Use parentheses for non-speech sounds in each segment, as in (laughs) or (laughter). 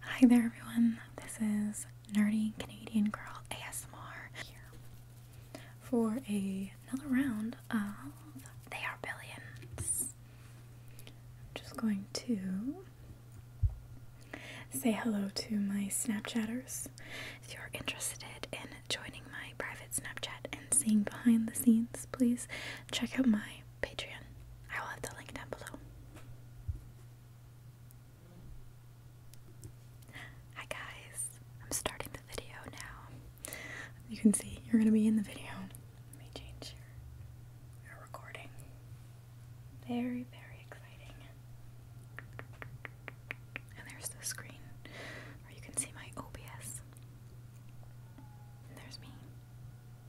Hi there, everyone. This is Nerdy Canadian Girl ASMR here for another round of They Are Billions. I'm just going to say hello to my Snapchatters. If you're interested in joining my private Snapchat and seeing behind the scenes, please check out my Patreon. I will have the link down below. Hi guys, I'm starting the video now. You can see you're gonna be in the video. Let me change your, your recording. Very, very exciting. And there's the screen where you can see my OBS. And there's me.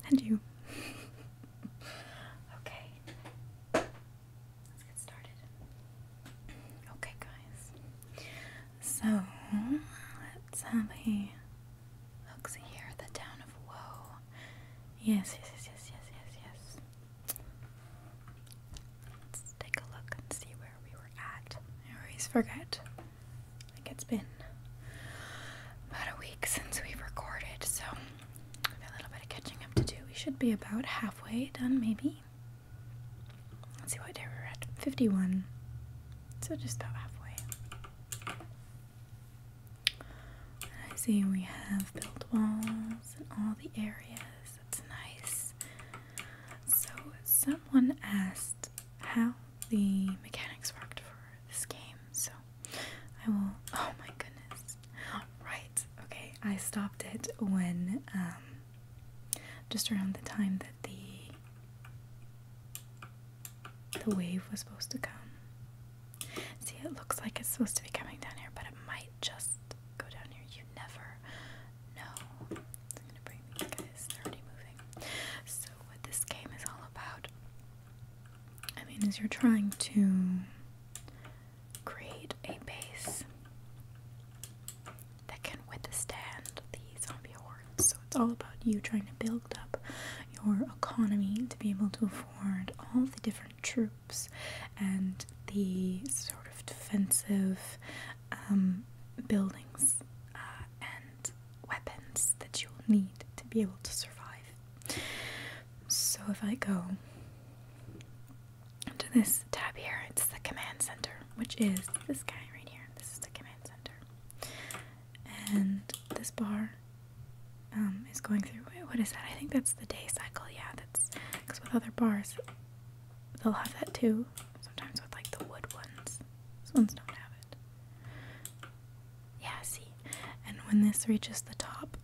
And you. (laughs) okay. Let's get started. Okay, guys. So, let's have a look see here. The town of woe. Yes, yes, yes, yes, yes, yes, Let's take a look and see where we were at. I always forget. Like it's been about a week since we recorded, so a little bit of catching up to do. We should be about halfway done, maybe. Let's see what day we're at. 51. So just about halfway. I see we have built walls in all the areas. That's nice. So someone asked how the mechanics worked for this game. So I will. Oh my goodness! Right. Okay. I stopped it when um, just around the time that the the wave was supposed to come. See, it looks like it's supposed to be coming down here, but it might just go down here. You never know. So what this game is all about I mean, as you're trying to create a base that can withstand the zombie hordes. So it's all about you trying to build up your economy to be able to afford all the different troops and the sort of defensive um, buildings uh, and weapons that you'll need to be able to survive so if I go to this tab here, it's the command center, which is this guy right here. This is the command center. And this bar um, is going through, what is that? I think that's the day cycle. Yeah, that's, because with other bars, they'll have that too. Sometimes with like the wood ones. These ones don't have it. Yeah, see. And when this reaches the top,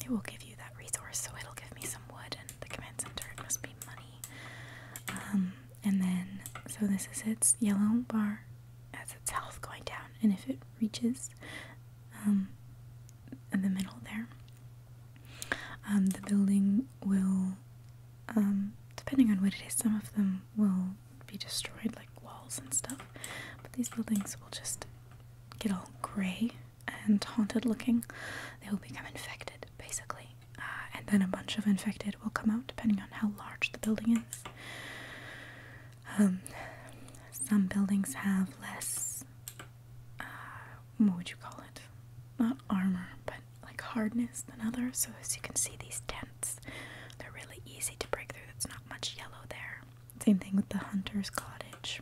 it will give you that resource. So it'll give me some wood and the command center. must be money. Um, and then, so this is its yellow bar as its health going down. And if it reaches um, in the middle there, um, the building will, um, depending on what it is, some of them will be destroyed, like walls and stuff. But these buildings will just get all gray and haunted looking, they will become infected, basically. Uh, and then a bunch of infected will come out, depending on how large the building is. Um, some buildings have less, uh, what would you call it? Not armor, but like hardness than others. So as you can see, these tents, they're really easy to break through. There's not much yellow there. Same thing with the hunter's cottage.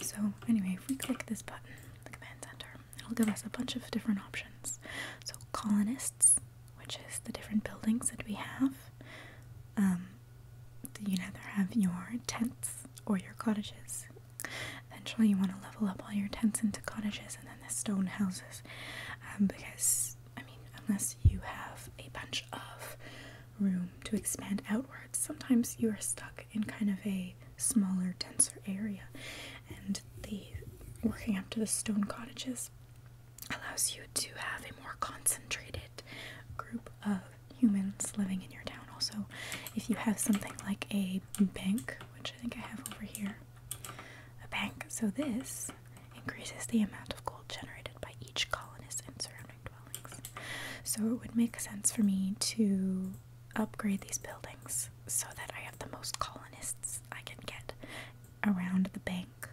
So anyway, if we click this button, the command center, it'll give us a bunch of different options. So colonists, which is the different buildings that we have. Um, you either have your tents or your cottages. Eventually, you want to level up all your tents into cottages and then the stone houses um, because I mean, unless you have a bunch of room to expand outwards, sometimes you are stuck in kind of a smaller, denser area. And the working up to the stone cottages allows you to have a more concentrated group of humans living in your town. Also, if you have something like a bank, which I think I have over here, a bank, so this increases the amount of gold generated by each colonist and surrounding dwellings. So it would make sense for me to upgrade these buildings so that I have the most colonists I can get around the bank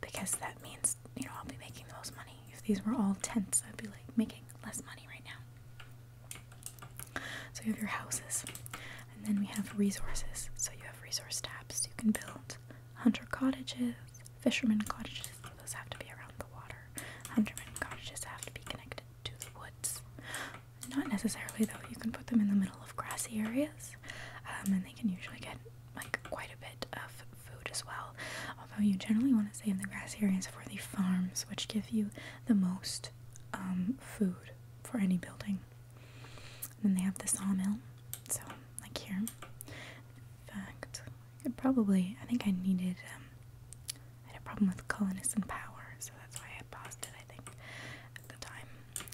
because that means, you know, I'll be making the most money. If these were all tents, I'd be like making less money right now. So you have your houses and then we have resources. So you have resource tabs. You can build hunter cottages, fishermen cottages, those have to be around the water. Hunterman cottages have to be connected to the woods. Not necessarily though, you can put them in the middle of grassy areas um, and they can usually get like quite a bit of food as well. Although you generally want to stay in the grassy areas for the farms, which give you the most um, food for any building. And then they have the sawmill, so like here, fact, I probably, I think I needed, um, I had a problem with colonists and power, so that's why I paused it, I think, at the time.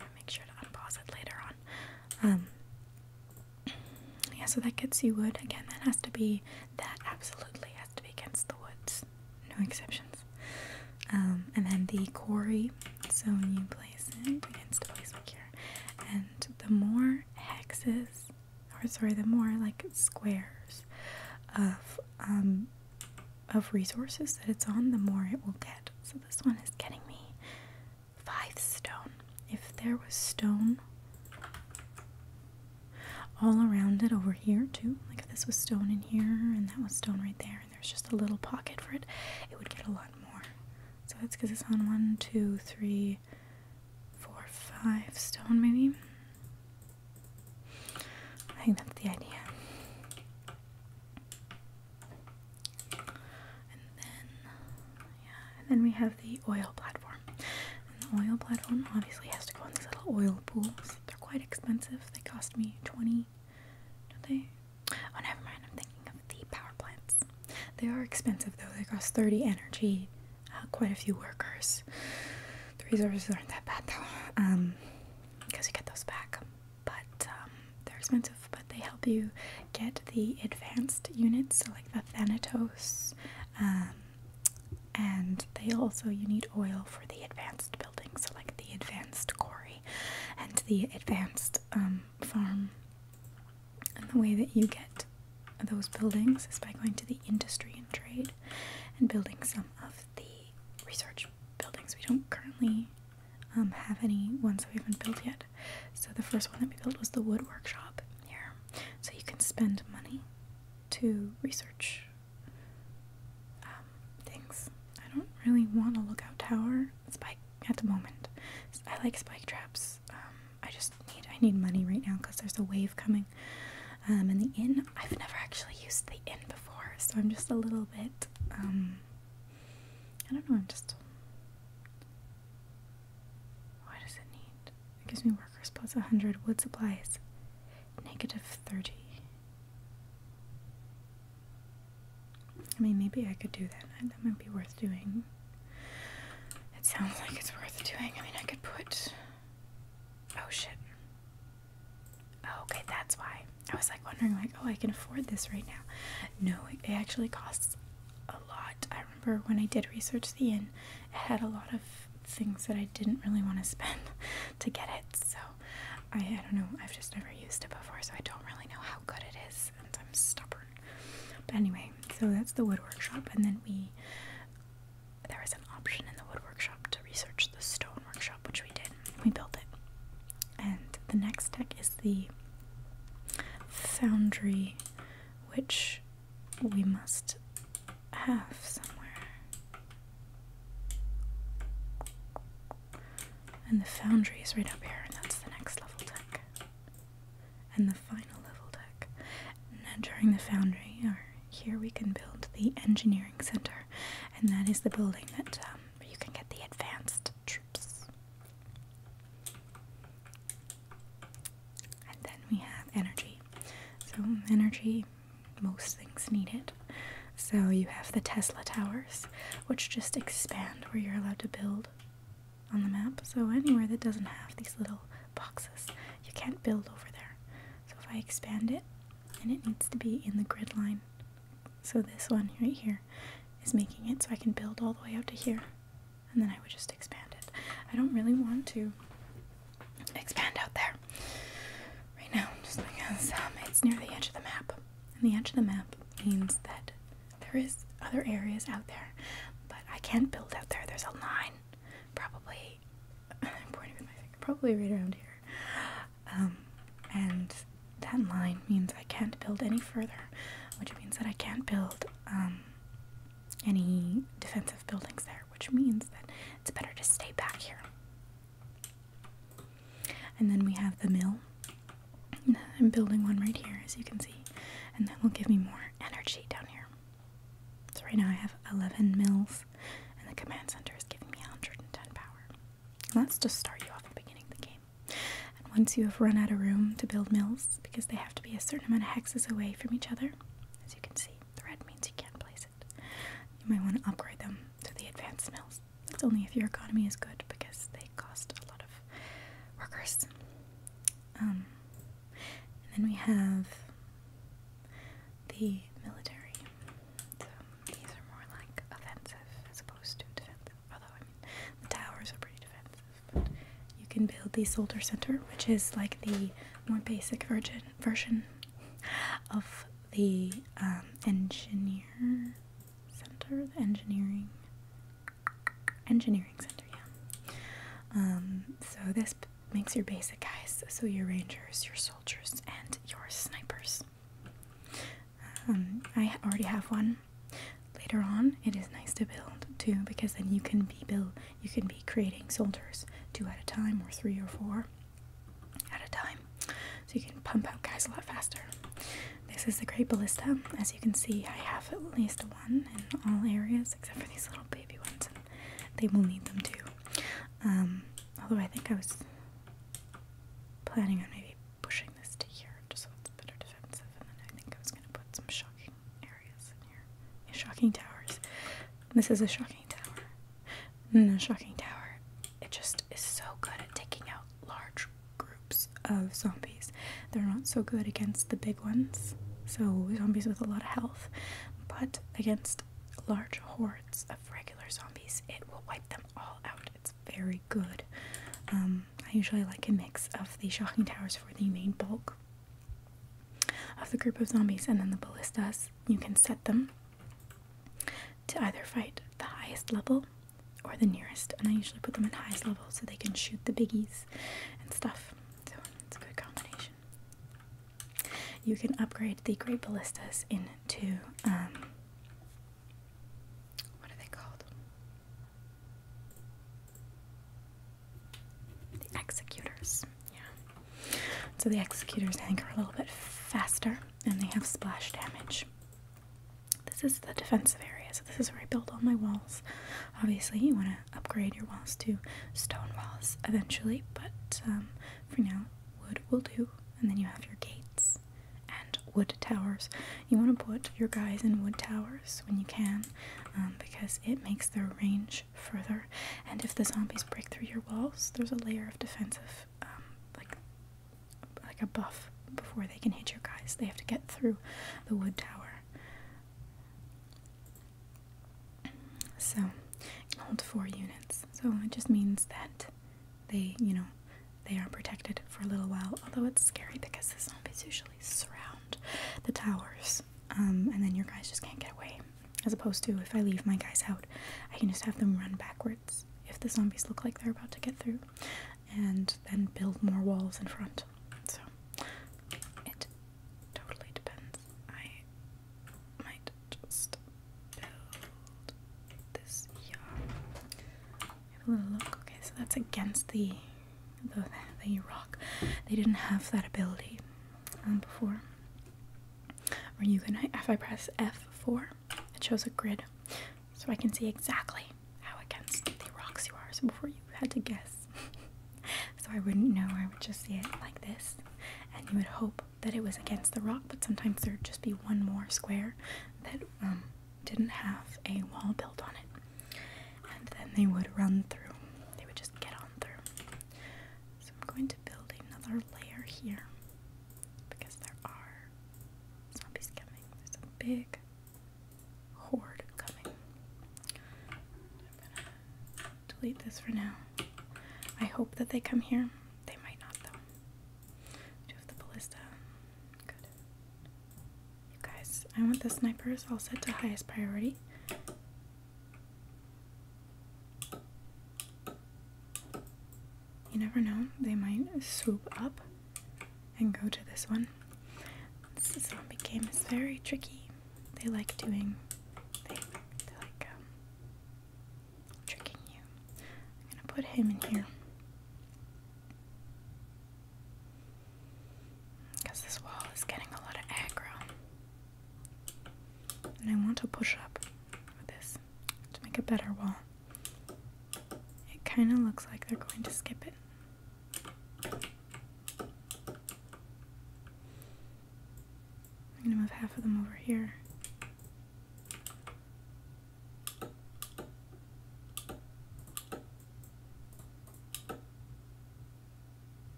I'll make sure to unpause it later on. Um, yeah, so that gets you wood. Again, that has to be, that absolutely has to be against the woods. No exceptions. Um, and then the quarry, so when you place it against the place here. And the more hexes, or sorry, the more like squares of um of resources that it's on, the more it will get. So this one is getting me five stone. If there was stone all around it over here too, like if this was stone in here and that was stone right there, and there's just a little pocket for it, it would get a lot more. So that's because it's on one, two, three, four, five stone, maybe. I think that's the idea. And then, yeah, and then we have the oil platform. And the oil platform obviously has to go in these little oil pools. They're quite expensive. They cost me 20, don't they? Oh, never mind. I'm thinking the power plants. They are expensive though, they cost 30 energy, uh, quite a few workers. The resources aren't that bad though, because um, you get those back. But um, they're expensive, but they help you get the advanced units, so like the Thanatos. Um, and they also, you need oil for the advanced buildings, so like the advanced quarry and the advanced farm and the way that you get those buildings is by going to the industry and trade and building some of the research buildings. We don't currently um, have any ones that we haven't built yet. So the first one that we built was the wood workshop here. So you can spend money to research um, things. I don't really want a lookout tower. Spike at the moment. I like spike traps. Um, I just need I need money right now because there's a wave coming. Um, and the inn I've never actually used the inn before, so I'm just a little bit um, I don't know, I'm just why does it need? It gives me workers plus 100, wood supplies, negative 30. I mean, maybe I could do that. That might be worth doing. It sounds like it's worth doing. I mean, I could put. Oh shit. Oh, okay, that's why. I was like wondering, like, oh, I can afford this right now. No, it actually costs a lot. I remember when I did research the inn, it had a lot of things that I didn't really want to spend (laughs) to get it. So I, I don't know. I've just never used it before, so I don't really know how good it is and I'm stubborn. But anyway, so that's the wood workshop, and then we there was an option in the wood workshop to research the stone workshop, which we did. We built it. And the next deck is the foundry, which we must have somewhere. And the foundry is right up here, and that's the next level deck and the final level deck. And during the foundry, or here we can build the engineering center, and that is the building that um, you can get the advanced troops. And then we have energy. So energy, most things need it. So you have the Tesla towers, which just expand where you're allowed to build on the map. So anywhere that doesn't have these little boxes, you can't build over there. So if I expand it, and it needs to be in the grid line. So this one right here is making it so I can build all the way out to here. And then I would just expand it. I don't really want to expand out there right now just because um, it's near the edge of the map. And the edge of the map means that there is other areas out there, but I can't build out there. There's a line, probably. (laughs) pointing with my finger, probably right around here. Um, and that line means I can't build any further, which means that I can't build um, any defensive buildings there, which means that it's better to stay back here. And then we have the mill. I'm building one right here, as you can see, and that will give me more energy down here. So right now I have 11 mills, and the command center is giving me 110 power. let's just start you off at the beginning of the game. And once you have run out of room to build mills, because they have to be a certain amount of hexes away from each other, as you can see, the red means you can't place it. You might want to upgrade them to the advanced mills. That's only if your economy is good, because they cost a lot of workers. Um, and then we have the military. these are more like offensive as opposed to defensive. Although, the towers are pretty defensive. But you can build the soldier center, which is like the more basic version version of the um, engineer center, the engineering engineering center, yeah. Um, so this makes your basic guys, so your rangers, your soldiers, and your snipers. Um, I already have one. Later on, it is nice to build too, because then you can be build, you can be creating soldiers two at a time, or three or four at a time, so you can pump out guys a lot faster. This is the Great Ballista, as as you can see, I have at least one in all areas except for these little baby ones, and they will need them too. Um, although I think I was planning on maybe pushing this to here just so it's better defensive, and then I think I was going to put some shocking areas in here. shocking towers. This is a shocking tower. No, mm, shocking tower. It just is so good at taking out large groups of zombies. They're not so good against the big ones, so zombies with a lot of health, but against large hordes of regular zombies, it will wipe them all out. It's very good. Um, I usually like a mix of the shocking towers for the main bulk of the group of zombies, and then the ballistas. You can set them to either fight the highest level or the nearest, and I usually put them at highest level so they can shoot the biggies and stuff. So it's a good combination. You can upgrade the Great Ballistas into, um, what are they called? The Executors, yeah. So the Executors, I think, are a little bit faster and they have splash damage. This is the defensive area, so this is where I build all my walls. Obviously, you want to upgrade your walls to stone walls eventually, but um, for now, wood will do. And then you have your gates and wood towers. You want to put your guys in wood towers when you can um, because it makes their range further. And if the zombies break through your walls, there's a layer of defensive, um, like, like a buff before they can hit your guys. They have to get through the wood tower. So hold four units. So it just means that they, you know, they are protected for a little while. Although it's scary because the zombies usually surround the towers, um, and then your guys just can't get away. As opposed to if I leave my guys out, I can just have them run backwards if the zombies look like they're about to get through, and then build more walls in front. So it totally depends. I might just build this yacht. Have a little look. Okay, so that's against the the, the rock. They didn't have that ability um, before. Or you can if I press F4, it shows a grid, so I can see exactly how against the rocks you are. So before you had to guess. (laughs) so I wouldn't know, I would just see it like this. And you would hope that it was against the rock, but sometimes there'd just be one more square that um, didn't have a wall built on it. And then they would run through, they would just get on through. So I'm going to build another layer here because there are zombies coming. There's a big horde coming. i delete this for now. I hope that they come here. They might not, though. Do you the ballista? Good. You guys, I want the snipers all set to highest priority. You never know, they might swoop up and go to this one. This zombie game is very tricky they like doing they, like um, tricking you. I'm gonna put him in here because this wall is getting a lot of aggro, and I want to push up with this to make a better wall. It kind of looks like they're going to skip it. I'm going to move half of them over here.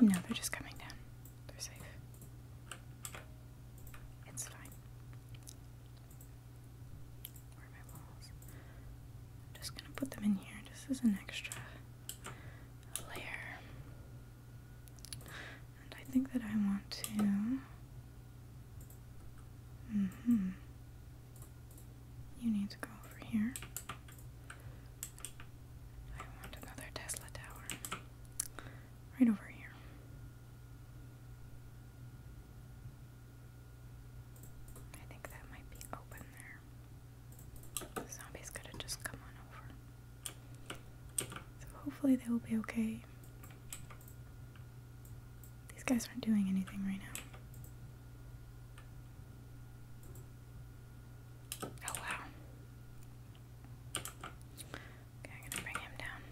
No, they're just coming down. They're safe. It's fine. I'm just gonna put them in here This is an extra layer. And I think that I want to. Mm hmm. You need to go over here. I want another Tesla tower. Right over here. I think that might be open there. zombies could have just come on over. So hopefully they will be okay. These guys aren't doing anything right now. Oh wow. Okay, I'm gonna bring him down.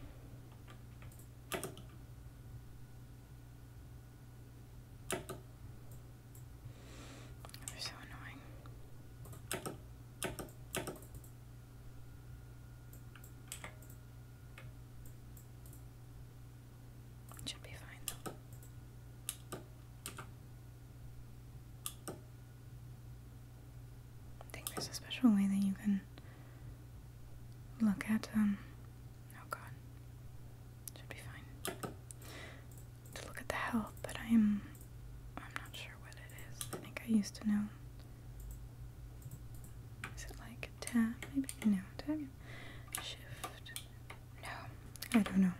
They're so annoying. should be fine though. I think there's a special way that you can look at um Oh god. Should be fine. To look at the health, but I am I'm not sure what it is. I think I used to know. Is it like tab maybe? No, tab shift. No. I don't know.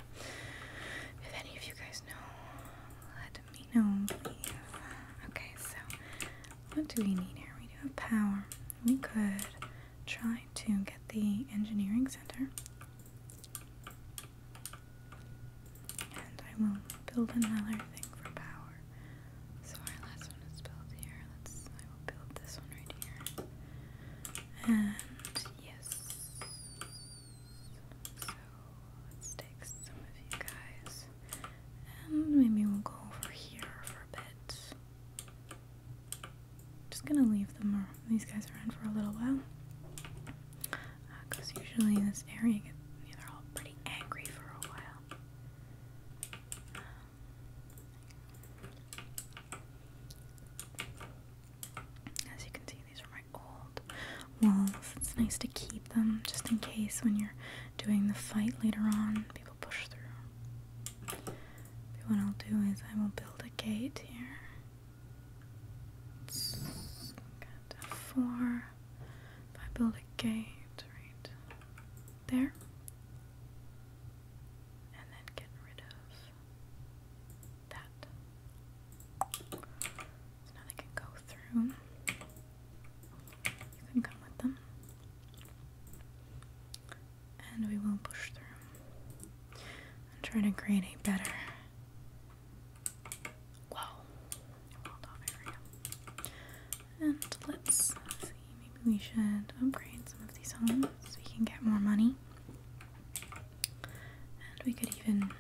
If any of you guys know, let me know Okay, so what do we need here? We do have power. We could try to get the engineering center. And I will build another thing for power. So our last one is built here. Let's I will build this one right here. And yes. So let's take some of you guys. And maybe we'll go over here for a bit just gonna leave them these guys around for a little while because uh, usually in this area they're all pretty angry for a while. As you can see, these are my old walls. It's nice to keep them just in case when you're doing the fight later on, people push through what I'll do is I will build a gate here. It's got four. I build a gate right there. And then get rid of that. So now they can go through. You can come with them and we will push through I'm trying to create a better whoa And let's see, maybe we should upgrade some of these homes so we can get more money. And we could even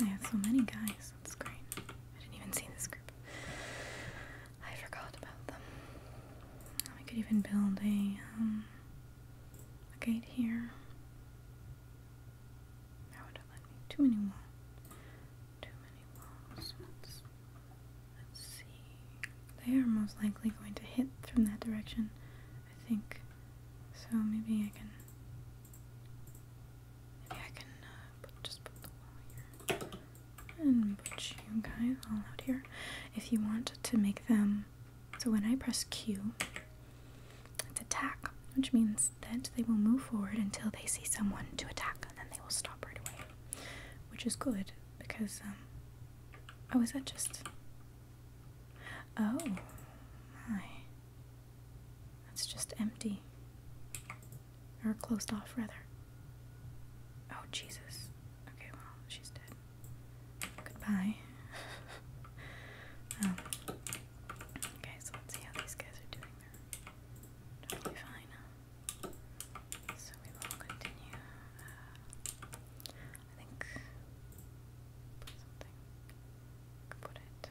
I have so many guys, that's great. I didn't even see this group. I forgot about them. We could even build um, a, gate here. That would have let me. Too many walls. Too many walls. Let's, see. They are most likely going to hit from that direction, I think. So maybe I can. Maybe I can uh, just put the wall here and put you guys all out here if you want to make them so when I press Q it's attack which means that they will move forward until they see someone to attack and then they will stop right away which is good because um, oh is that just oh my that's just empty or closed off, rather. Oh, Jesus. Okay, well, she's dead. Goodbye. (laughs) Um, okay, so let's see how these guys are doing. totally fine. So we will continue. Uh, I think. Put something. Put it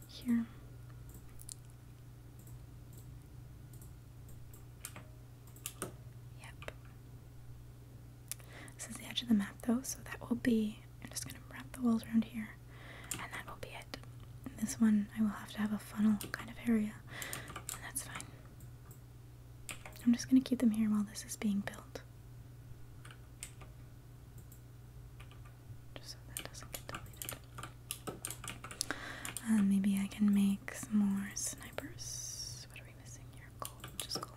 uh, here. Yep. This is the edge of the map though, so that will be. I'm just gonna wrap the walls around here, and that will be it. this one, I will have to have a funnel kind of area, and that's fine. I'm just gonna keep them here while this is being built. Just so that doesn't get deleted. Uh, maybe I can make some more snipers. What are we missing here? Coal, just coal.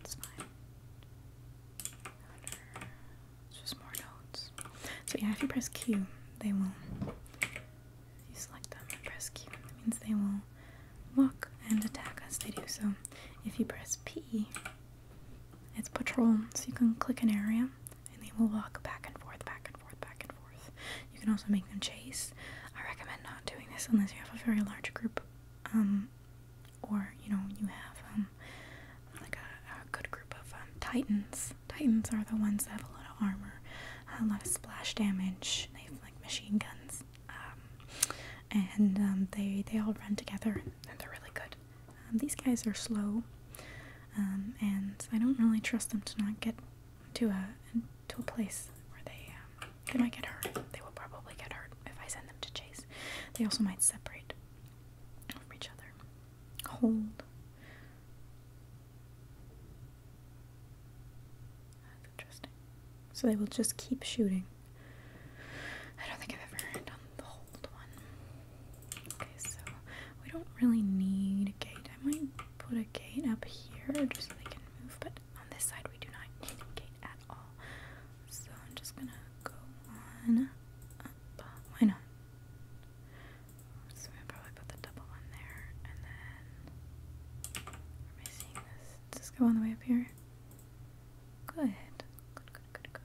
It's fine. Under, just more nodes. So yeah, if you press Q, they will. If you select them and press Q, that means they will walk and attack us. They do so. If you press P, it's patrol. So you can click an area and they will walk back and forth, back and forth, back and forth. You can also make them chase. I recommend not doing this unless you have a very large group, um, or you know you have um, like a, good group of um, titans. Titans are the ones that have a lot of armor, a lot of splash damage. They have like machine guns, and they they all run together and they're really good. these guys are slow. Um, and I don't really trust them to not get to a to a place where they um, they might get hurt. They will probably get hurt if I send them to chase. They also might separate from each other. Hold. That's interesting. So they will just keep shooting. I don't think I've ever done the hold one. Okay, so we don't really need a gate. I might put a gate up here just so they can move, but on this side we do not need a gate at all. So I'm just gonna go on up. Why not? So I'm probably put the double one there, and then where am I this? Does go on the way up here? Good. Good, good, good, good.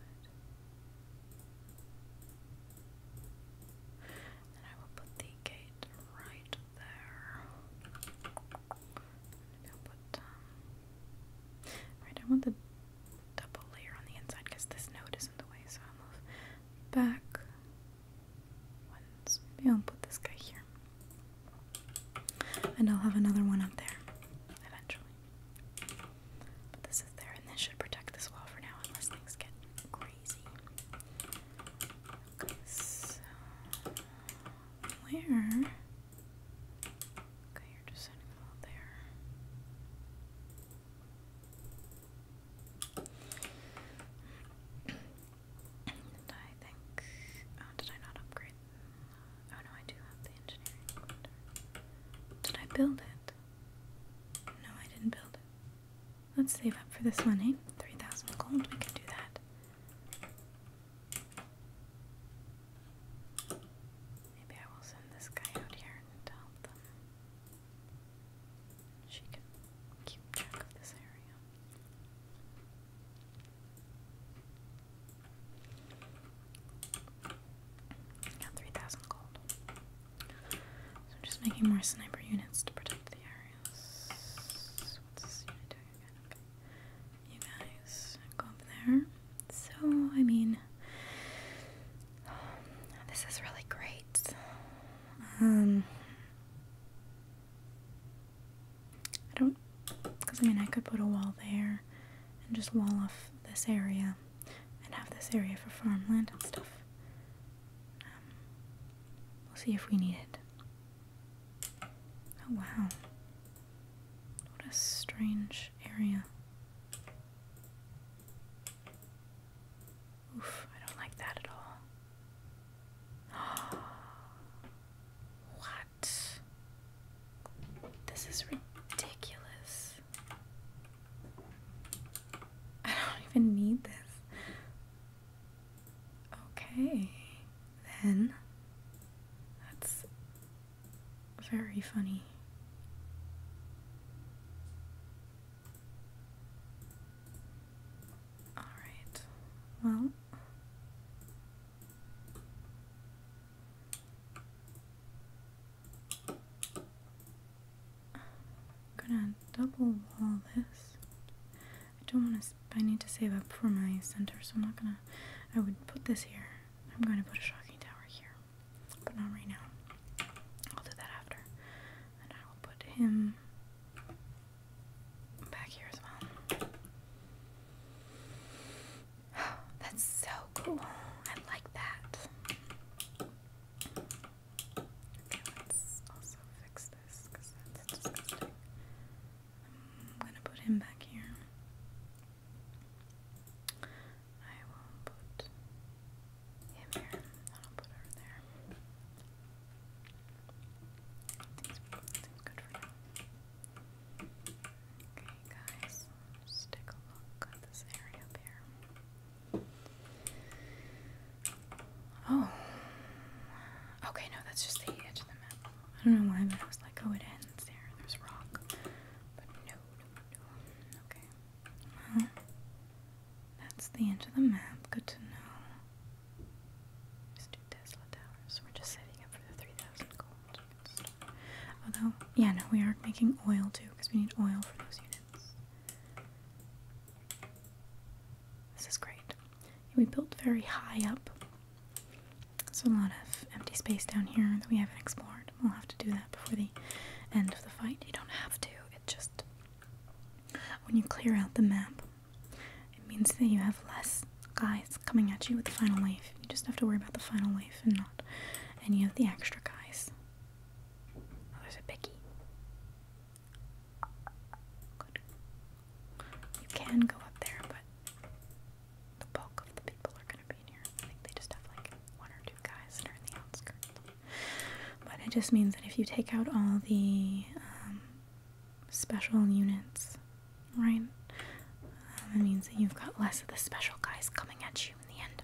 And I will put the gate right there. Maybe I'll put, um, right, I want the double layer on the inside because this node is in the way, so I'll move back once. Maybe I'll put this guy here. And I'll have another one up there eventually. But this is there, and this should protect this wall for now, unless things get crazy so where? Okay, you're just sending there. and I think oh did I not upgrade? Oh no, I do have the engineering did I build it? No, I didn't build Let's save up for this one, eh? 3,000 gold, we can do that. Maybe I will send this guy out here and help them. She can keep track of this area. Got 3,000 gold. So I'm just making more sniper units to protect the areas. You guys go up there. So, I mean, this is really great. Um, I don't, because I mean, I could put a wall there and just wall off this area and have this area for farmland and stuff. Um, we'll see if we need it. Oh wow. What a strange area. Oof, I don't like that at all. (gasps) what? This is ridiculous. I don't even need this. Okay, then. That's very funny. Alright, well. I'm gonna double wall this. I don't want to. I need to save up for my center, so I'm not gonna. I would put this here. I'm going to put a shocking tower here, but not right now. I'll do that after, and I will put him back here as well. (sighs) that's so cool. I like that. Okay, let's also fix this because that's disgusting. I'm gonna put him back here. I will put him here. I'll put her there. Seems, seems good for now. Okay, guys, let a look at this area here. Oh. Okay, no, that's just the edge of the map. I don't know why, but I was like, oh, it ends there. There's rock. But no, no, no. Okay. Well, that's the end of the map. Good to know. Let's Tesla Towers. We're just setting up for the 3,000 gold. Although, yeah, no, we are making oil too, because we need oil for those units. This is great. We built very high up. There's a lot of empty space down here that we haven't explored. We'll have to do that before the end of the fight. You don't have to. It just when you clear out the map, it means that you have less guys coming at you with the final wave. You just have to worry about the final wave and not any of the extra guys. Oh, there's a Bicky. You can go up there, but the bulk of the people are going to be in here. I think they just have like one or two guys that are in the outskirts. But it just means that if you take out all the um, special units, right, that means that you've got less of the special guys coming at you in the end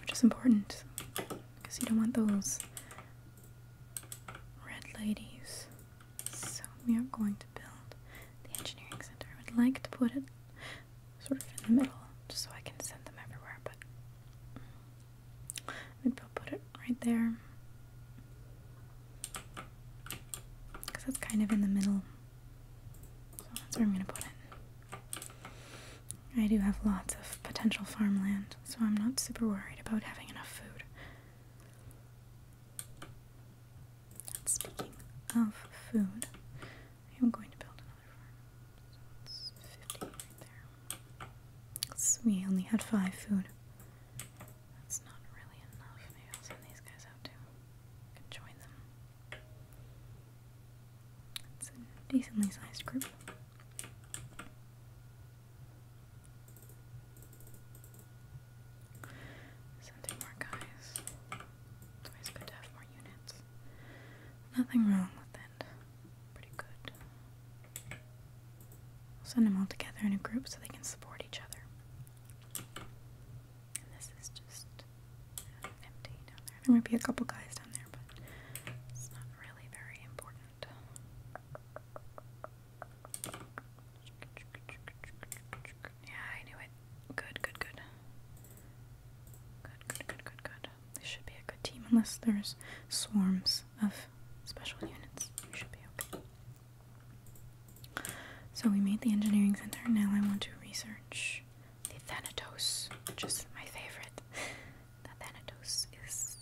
which is important because you don't want those red ladies. So we are going to build the engineering center. I would like to put it sort of in the middle just so I can send them everywhere, but maybe I'll put it right there because it's kind of in the middle. So that's where I'm going to put it. I do have lots of potential farmland, so I'm not super worried about having enough food. speaking of food, I am going to build another farm. So it's 50 right there. we only had five food. That's not really enough. Maybe I'll send these guys out too. I could join them. It's a decently sized group. Sending more guys. always good to have more units. Nothing wrong with that. Pretty good. We'll send them all together in a group so they can support each other. And this is just empty there. might be a couple guys down there, but it's not really very important. Yeah, I knew it. Good, good, good. Good, good, good, good, good. This should be a good team unless there's swarms of special units. should be okay. So we made the engineering center. Now I want to research the Thanatos, which is my favorite that Thanatos is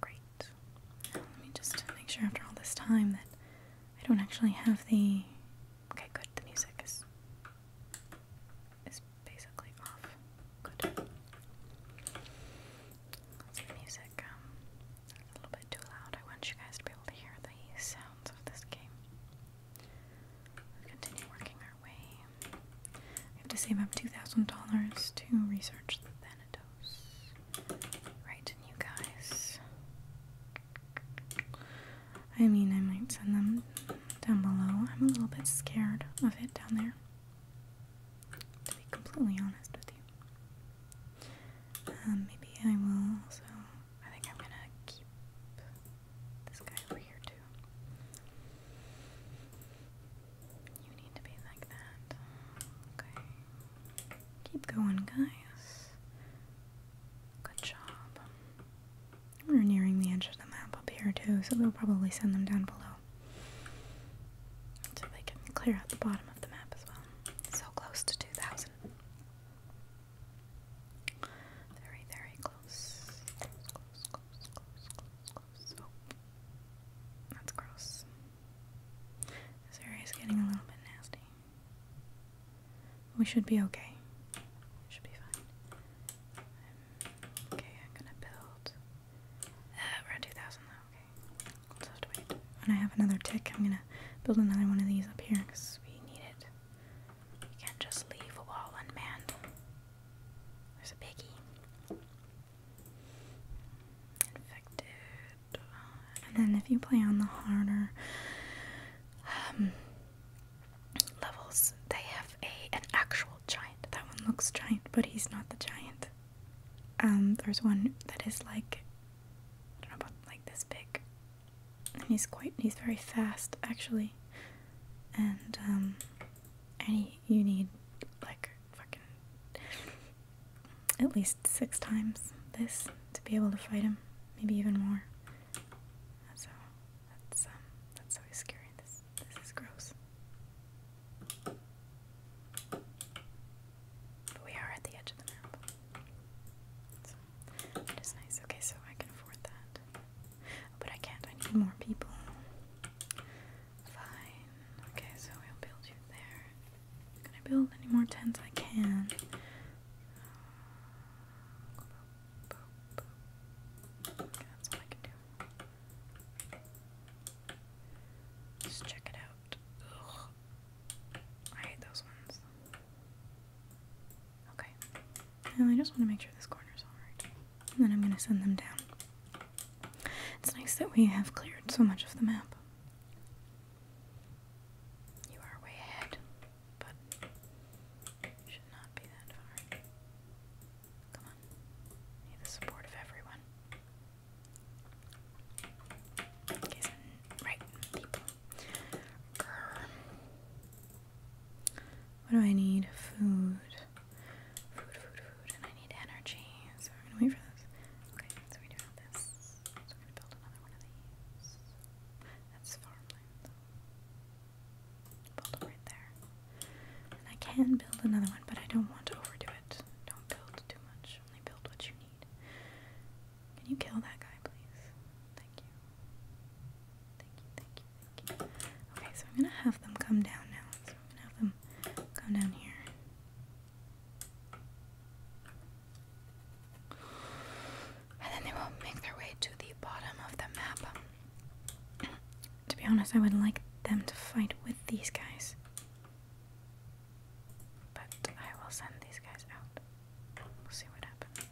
great. let me just make sure after all this time that I don't actually have the. Okay, good. The music is is basically off. Good. the music. Um, a little bit too loud. I want you guys to be able to hear the sounds of this game. we continue working our way I have to save up $2,000 to research the Thanatos. Right, and you guys. I mean, I might send them down below. I'm a little bit scared of it down there. To be completely honest with you. Um, maybe I will also. I think I'm gonna keep this guy here too. You need to be like that. Okay. Keep going, guys. Good job. We're nearing the edge of the map up here too, so we'll probably send them down below. So they can clear out the bottom of the map as well. So close to 2,000. Very, very close, close. Oh, that's gross. This area is getting a little bit nasty. We should be okay. should be fine. okay, I'm gonna build. Uh, we're at 2,000 though, okay. We'll have to wait. When I have another tick, I'm gonna build another one of these up here because we need it. We can't just leave a wall unmanned. There's a piggy. Infected. And then if you play on the harder um, levels, they have a an actual giant. That one looks giant, but he's not the giant. Um, there's one that is like I don't know about like this big. And he's quite he's very fast actually. And um and you need like fucking at least six times this to be able to fight him, maybe even more. So that's um, that's always scary. This this is gross. But we are at the edge of the map. So nice. Okay, so I can afford that. But I can't. I need more people. Fine. Okay, so we'll build you there. i build any more tents I can. that's all I can do. Just check it out. I hate those ones. Okay. And I just want to make sure this corner is alright and then I'm going to send them down. It's nice that we have cleared so much of the map. You are way ahead, but should not be that far. Come on. Need the support of everyone. right people. Grr. What do I need? Food. Food, food, food. And I need energy. So we're going to wait for this. Okay, so we do have this. So we're going to build another one of these. That's farmland, though. Build it right there. And I can build another one, but I don't want to overdo it. Don't build too much. Only build what you need. Can you kill that guy, please? Thank you. Thank you, thank you. Okay, so I'm gonna have them come down now. So I'm gonna have them come down here. And then they will make their way to the bottom of the map. to be honest, I would like them to fight with these guys. But I will send these guys out. We'll see what happens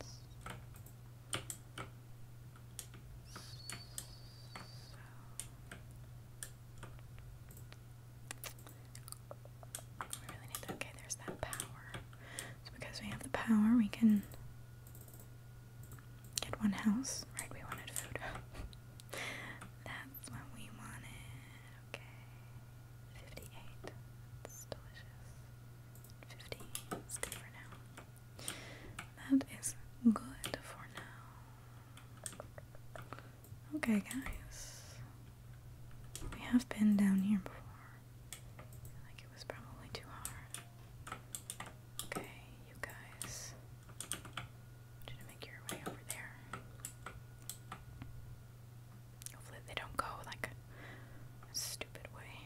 okay, there's that power. So because we have the power, we can get one house. Right, we wanted food. (laughs) That's what we wanted. Okay. 58. It's delicious. 50 is good for now. That is good for now. Okay, guys. We have been down here before. Like it was probably too hard. Okay, you guys. Try make your way over there. Hopefully they don't go like stupid way.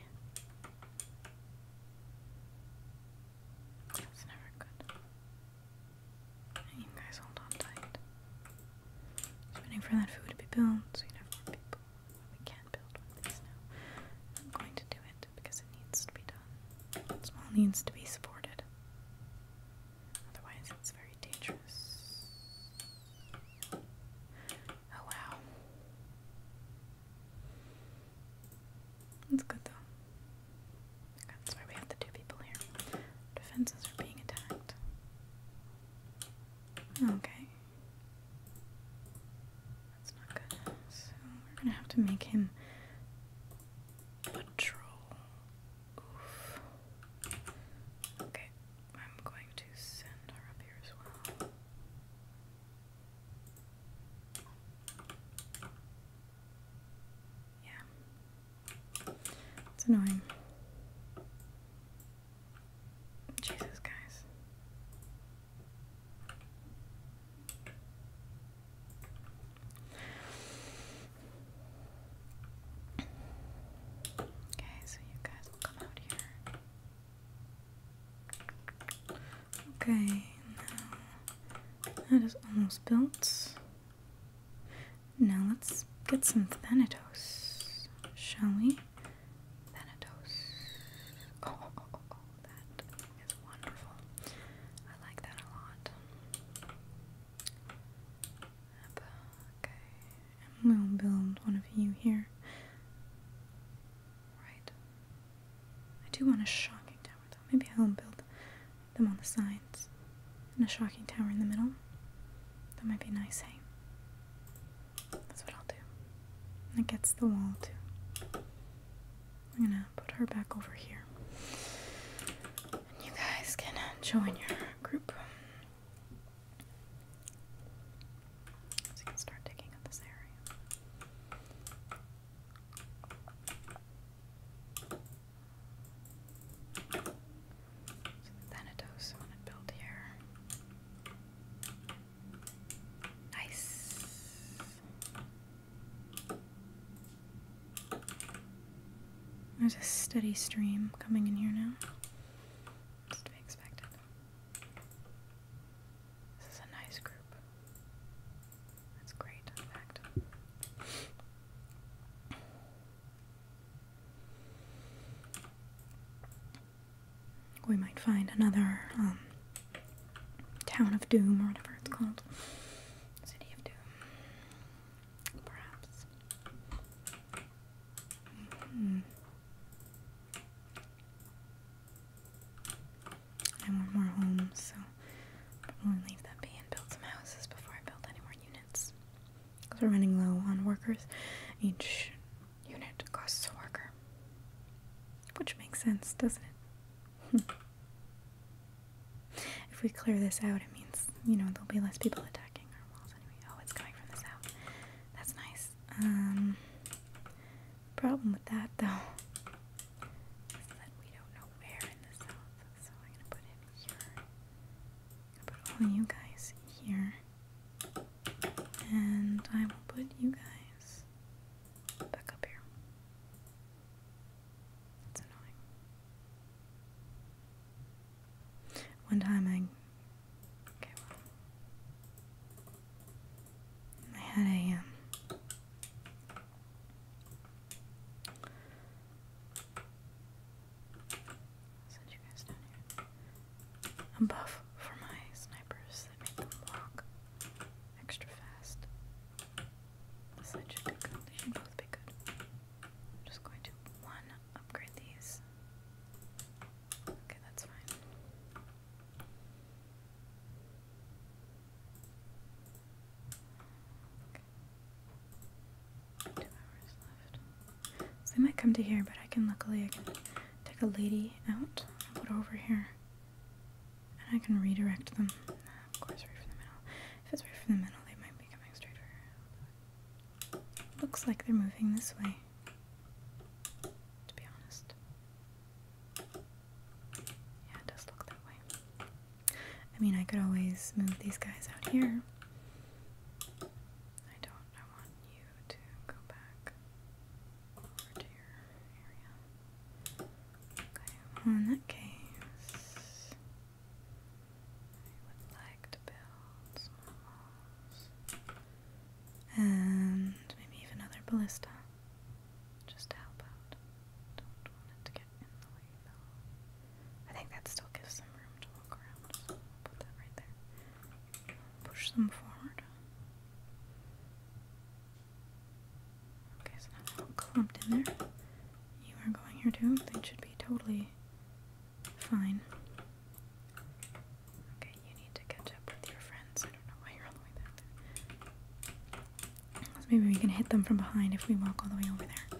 It's never good. You guys hold on tight. waiting for that food to be built so you can We can't build one of now. I'm going to do it because it needs to be done. Small needs to be supported. Otherwise, it's very dangerous. Oh wow. That's good though. That's why we have the two people here. Defenses are being attacked. Okay. That's not good. So we're gonna have to make him patrol. Oof. Okay, I'm going to send her up here as well. Yeah. It's annoying. Jesus, guys. Okay, so you guys come out here. Okay, now that is almost built. Now let's get some Thanatos, shall we? Thanatos. Oh, oh, oh, that is wonderful. I like that a lot. Okay, we'll build one of you here. Right I do want a shocking tower though. Maybe I'll build them on the sides and a shocking tower in the middle. That might be nice, hey? That's what I'll do. And it gets the wall too. I'm gonna put her back over here. And you guys can uh, join your group. So you can start digging up this area. Thanatos want to build here. Nice. There's a steady stream coming in here now. It's to be expected. This is a nice group. That's great, in fact. We might find another um, town of doom or whatever it's called. City of doom. Perhaps. -hmm. I want more homes, so I'm going to leave that be and build some houses before I build any more units. we're running low on workers. Each unit costs a worker. Which makes sense, doesn't it? (laughs) if we clear this out, it means, you know, there'll be less people attacking our walls anyway. Oh, it's coming from the south. That's nice. Um, problem with that, though, we don't know where in the south, so I'm gonna put him here. I'm put all you guys here. And I will put you guys back up here. It's annoying. One time I. Okay, I had a um, Send you A buff for my snipers that make them walk extra fast. This should be good. They should both be good. I'm just going to one upgrade these. Okay, that's fine. So they might come to here, but I can luckily I can take a lady out and put her over here. And I can redirect them. of course, right from the middle. If it's right from the middle, they might be coming straight for her. Looks like they're moving this way. To be honest. Yeah, it does look that way. I mean, I could always move these guys out here. I don't, I want you to go back over to your area. Okay, well, that case, I would like to build some And maybe even another ballista. Just to help out. Don't want it to get in the way though. I think that still gives some room to walk around. put that right there. Push them forward. Okay, so now they all clumped in there. You are going here too. They should be totally fine. Okay, you need to catch up with your friends. I don't know why you're all the way back there maybe we can hit them from behind if we walk all the way over there.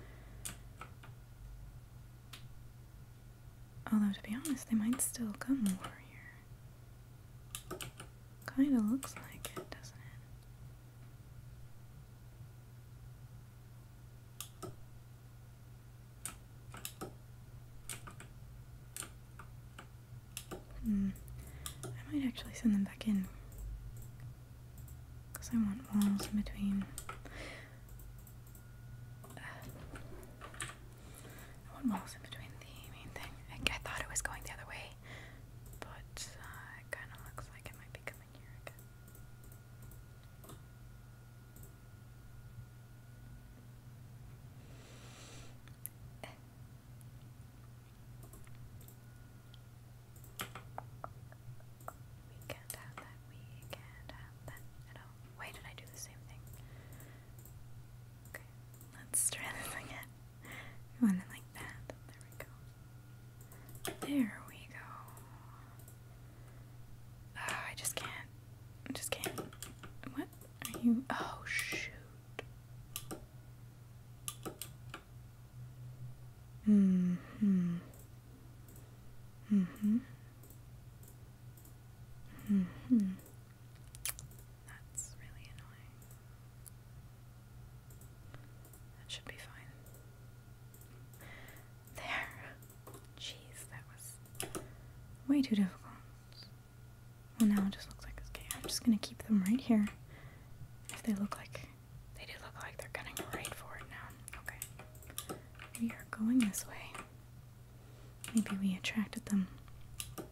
Although, to be honest, they might still come over here. Kinda looks like it, doesn't it? Hmm. I might actually send them back in. Because I want walls in between. I want walls in between the main thing. I, thought it was going the other way, but uh, it kind of looks like it might be coming here again. We did I do the same thing? Okay, let's try this again. want it like that. There we go. There we go. Oh, I just can't. I just can't. What are you? Oh, shoot. Hmm. Hmm. Mm-hmm. Mm-hmm. That's really annoying. That should be fine. There. Jeez, that was way too difficult. Well, now it just looks like okay. I'm just gonna keep them right here. If they look like they do look like they're cutting right for it now. Okay. We are going this way. Maybe we attracted them. Maybe.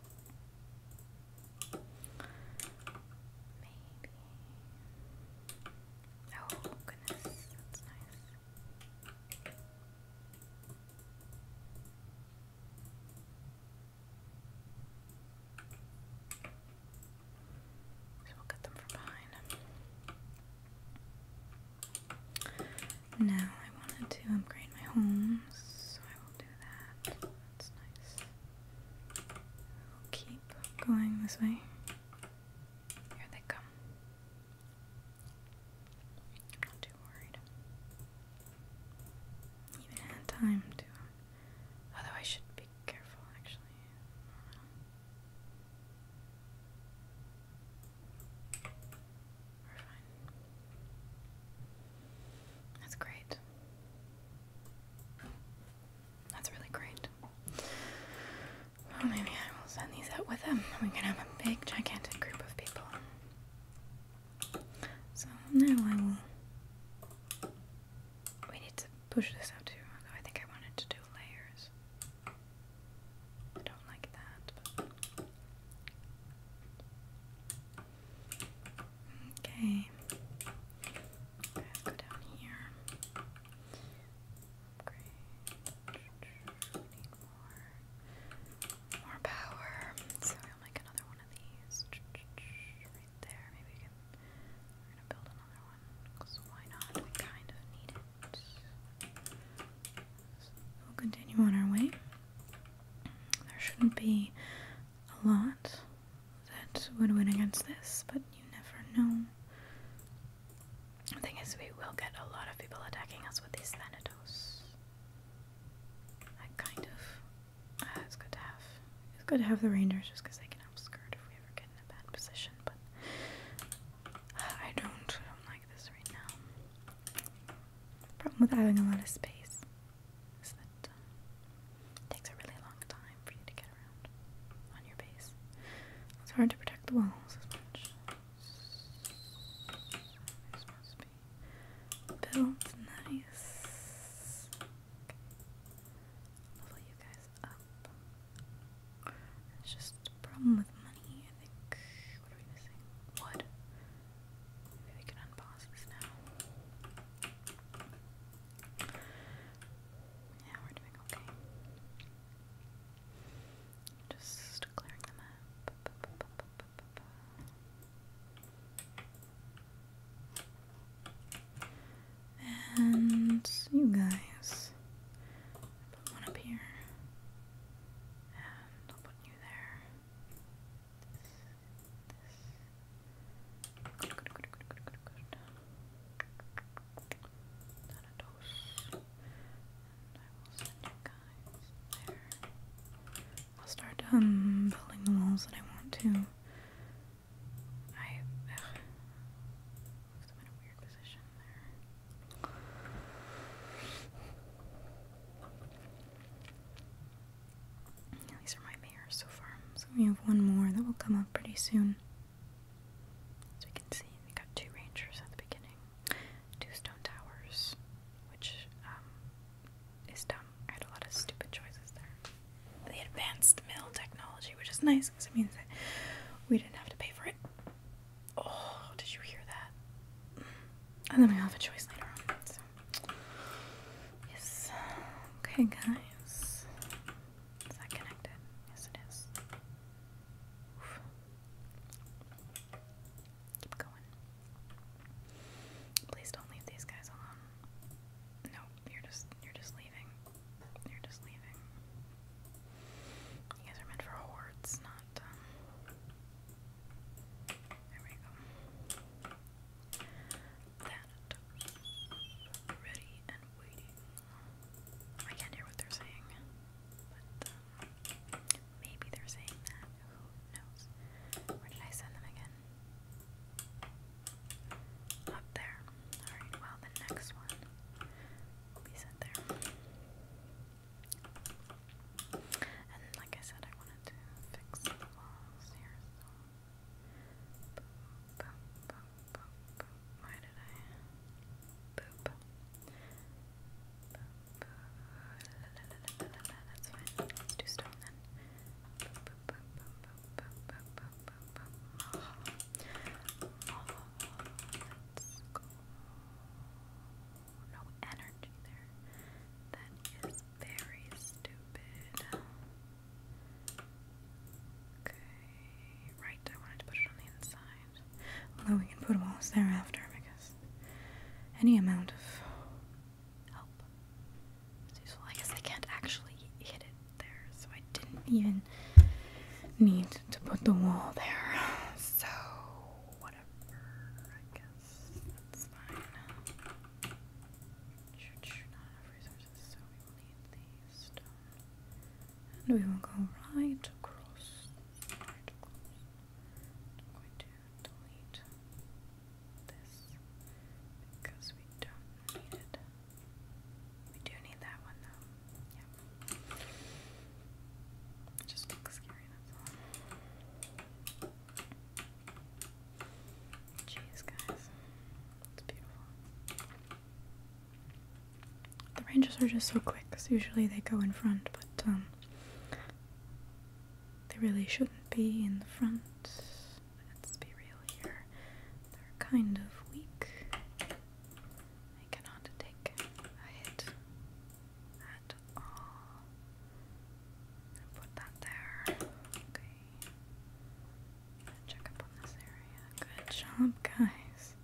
Oh, goodness. That's nice. So we'll get them from behind. Now I wanted to upgrade my homes, so I will do that. That's nice. We'll keep going this way. Here they come. I'm not too worried. Even had time to. Although I should be careful, actually. We're fine. That's great. That's really great. Well, maybe I will send these out with them. We can have a big, gigantic group of people. So now I will. We need to push this out too, I think I wanted to do layers. I don't like that, Okay. go down here. Upgrade. need more. More power. So we'll make another one of these there. Maybe we are gonna build another one because why not? We kind of need it. we'll continue on our way. There shouldn't be a lot that would win against this, but you never know. The thing is, we will get a lot of people attacking us with these Thanatos. I kind of Ah, it's good to have. It's good to have the Rangers just because they can help skirt if we ever get in a bad position. But I don't. I don't like this right now. problem with having a lot of space is that um, takes a really long time for you to get around on your base. It's hard to protect the walls as much. So, supposed to built nice level you guys up. It's just a problem with money, I think. What are we missing? Wood. Yeah, we're doing okay. Just clearing them up. And you guys, put one up here, and I'll put you there. I will I'll start um building the walls that I want to these are my mirrors so far. So we have one more that will come up pretty soon. As we can see, we got two rangers at the beginning, two stone towers, which um, is dumb. I had a lot of stupid choices there the advanced mill technology, which is nice because it means that we didn't have to pay for it. Oh, did you hear that? And then we'll have a choice later on. Yes. Okay, guys. Is that connected? Yes, it is. Keep going. Please don't leave these guys alone. No, you're just you're just leaving. They're just leaving. You guys are meant for hordes, not, um, There we go. That. Ready and waiting. I can't hear what they're saying. But, um, Maybe they're saying that. Who knows? Where did I send them again? Up there. Alright, well, the next one will be set there. And like I said, I wanted to fix the walls here, so. Boop, boop, boop, boop, boop. Why did I? Boop. Boop, boop. La, la, la, la, la, la. That's fine. Let's do stone then. Boop, boop, no energy there. That is very stupid. Okay, right, I wanted to put it on the inside. Although we can put walls there thereafter because any amount of help I guess I can't actually hit it there, so I didn't even need to put the wall there. So, whatever. I guess that's fine. Church not have resources, so we will need the And we will go right across. Right across. I'm going to delete this because we don't need it. We do need that one though. Yep. It just looks scary, that's all. Jeez, guys. It's beautiful. The ranges are just so quick because usually they go in front, but um, they really shouldn't be in the front let's be real here, they're kind of weak. They cannot take a hit at all. And put that there. Okay. Check up on this area. Good job, guys.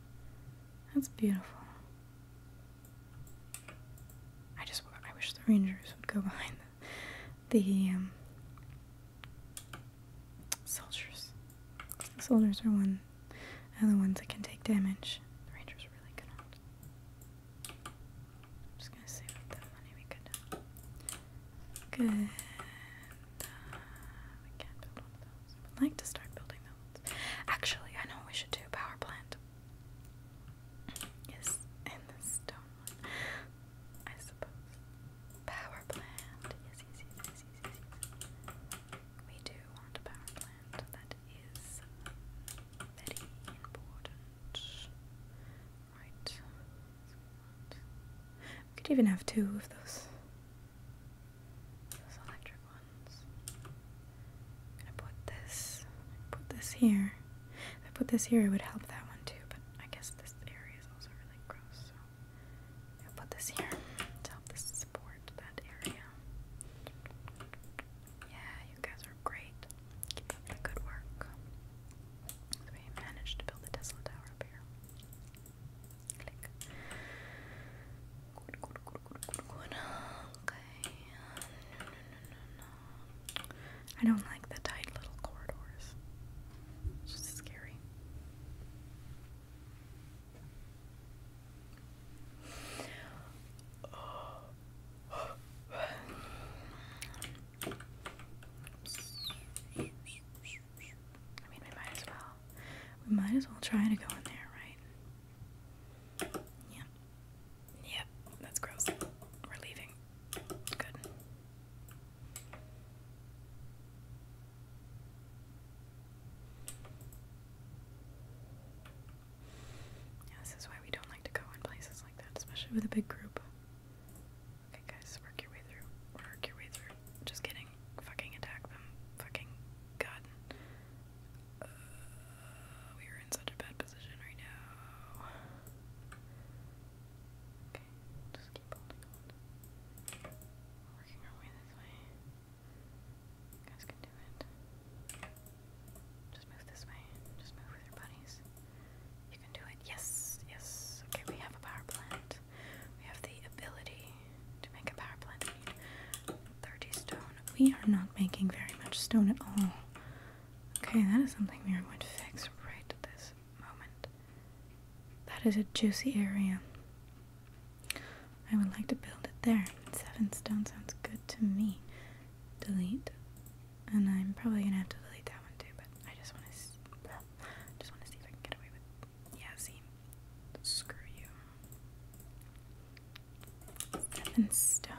That's beautiful. I just I wish the rangers would go (laughs) behind the, um, soldiers. soldiers are one and the ones that can take damage. The rangers really cannot. I'm just gonna save that money we could. Good. Uh, we can't build one of those. I'd like to start building those. Actually, I know we should do a power plant. Yes, and the stone I suppose. Power plant. Yes, yes, yes, yes, yes, yes. We do want a power plant. That is very important. Right. We could even have two of those. Those electric ones. gonna put this. Put this here. If I put this here, it would help that one too. But I guess this area is also really gross. So. I'll put this here to help support that area. Yeah, you guys are great. Keep up the good work. we managed to build the Tesla tower up here. Click. Okay. I don't like the tight little corridors. It's just scary. I mean, we might as well. We might as well try to go in there, right? Yeah. Yep, that's gross. We're leaving. Good. Yeah, this is why we don't like to go in places like that, especially with a big group. Okay, guys, work your way through. Work your way through. Just kidding. Fucking attack them. Fucking god. Uh, we are in such a bad position right now. Okay, just we're You guys can do it. Just move this way. Just move with your buddies. You can do it. Yes, yes. Okay, we have a power plant. We have the ability to make a power plant. 30 stone. We are not making very much stone at all. Okay, that is something we are going to fix right this moment. That is a juicy area. I would like to build it there. Seven stone sounds good to me. Delete. And I'm probably gonna have to delete that one too, but I just wanna see, just wanna see if I can get away with yeah, see. Screw you. Seven stone.